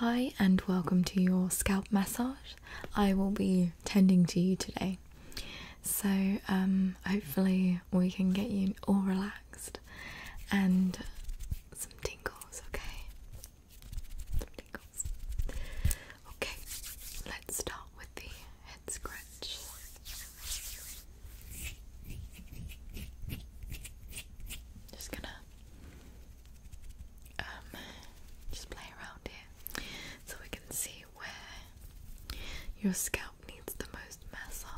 Hi, and welcome to your scalp massage. I will be tending to you today. So, um, hopefully, we can get you all relaxed and some tingles, okay? Okay, let's start with the head scratch. Just gonna um, just play around here so we can see where your scalp needs the most massage.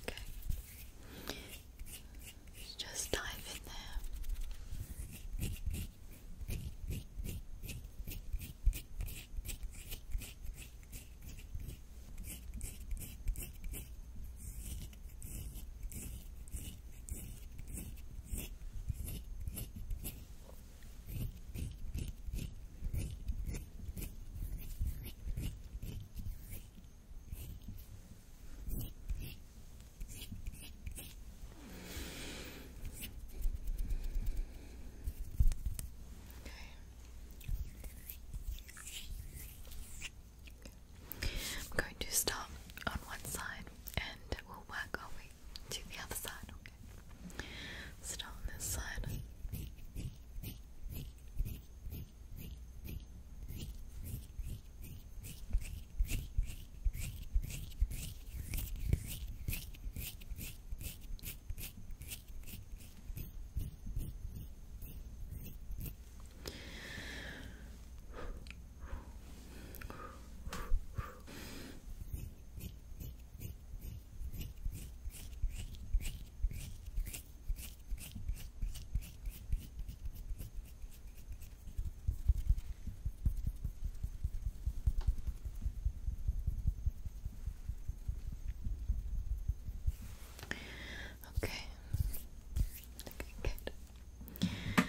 Okay. Just dive in there. I'm going to start on one side and we'll work our way to the other side. Okay. Still on this side. Okay. Okay, good. Okay.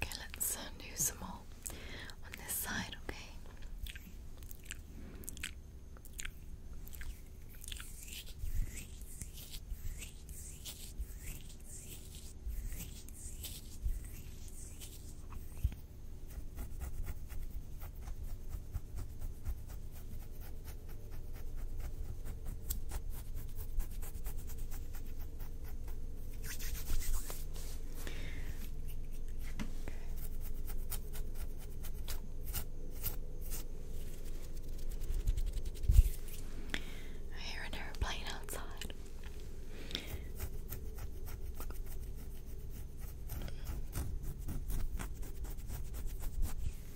Okay, let's uh, do some more on this side, Okay, I hear an airplane outside.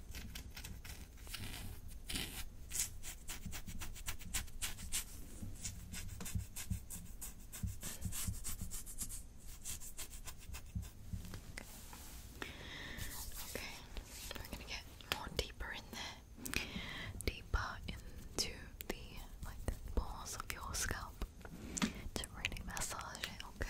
Okay, we're gonna get more deeper in there, deeper into the like pores of your scalp to really massage it. Okay.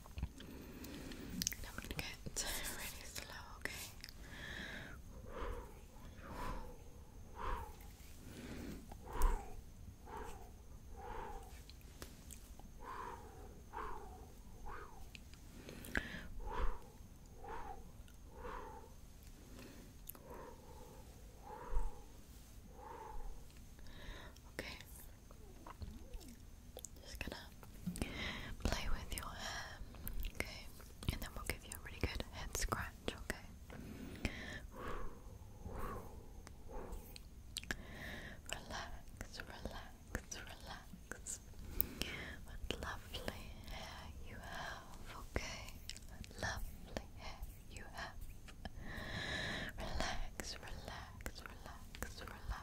I'm gonna get really slow, okay? Okay, just gonna play with your hair, okay? And then we'll give you a really good head scratch, okay? Relax, relax, relax. What lovely hair you have, okay? What lovely hair you have. Relax, relax, relax, relax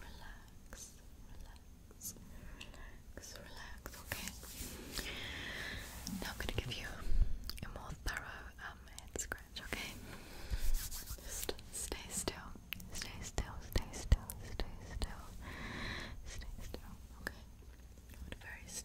Relax, relax, relax, relax, okay. Now I'm gonna give you a more thorough um, head scratch, okay? Just stay still, stay still, stay still, stay still, stay still, okay? very still.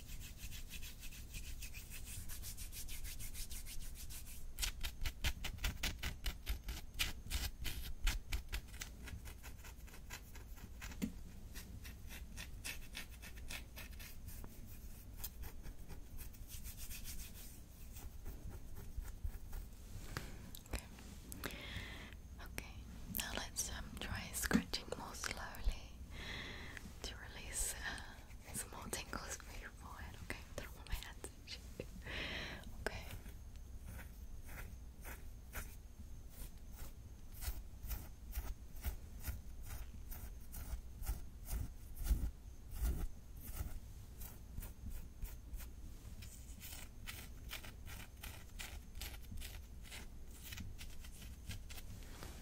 Okay, now let's um, try scratching more slowly to release uh, some more tingles for your forehead, okay? don't want my hands okay.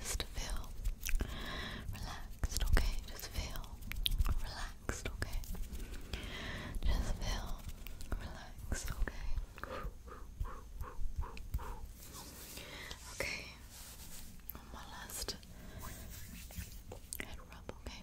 Just feel relaxed, okay? Just feel relaxed, okay? Just feel relaxed, okay? Okay, my last head rub, okay?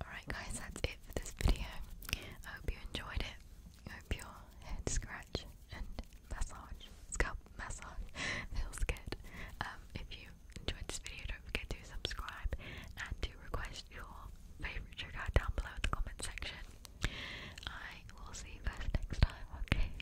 Alright guys, that's it for this video. I hope you enjoyed it. I hope your head scratch and massage, scalp massage feels good. Um, if you enjoyed this video, don't forget to subscribe and to request your favorite trigger down below in the comment section. I will see you guys next time, okay?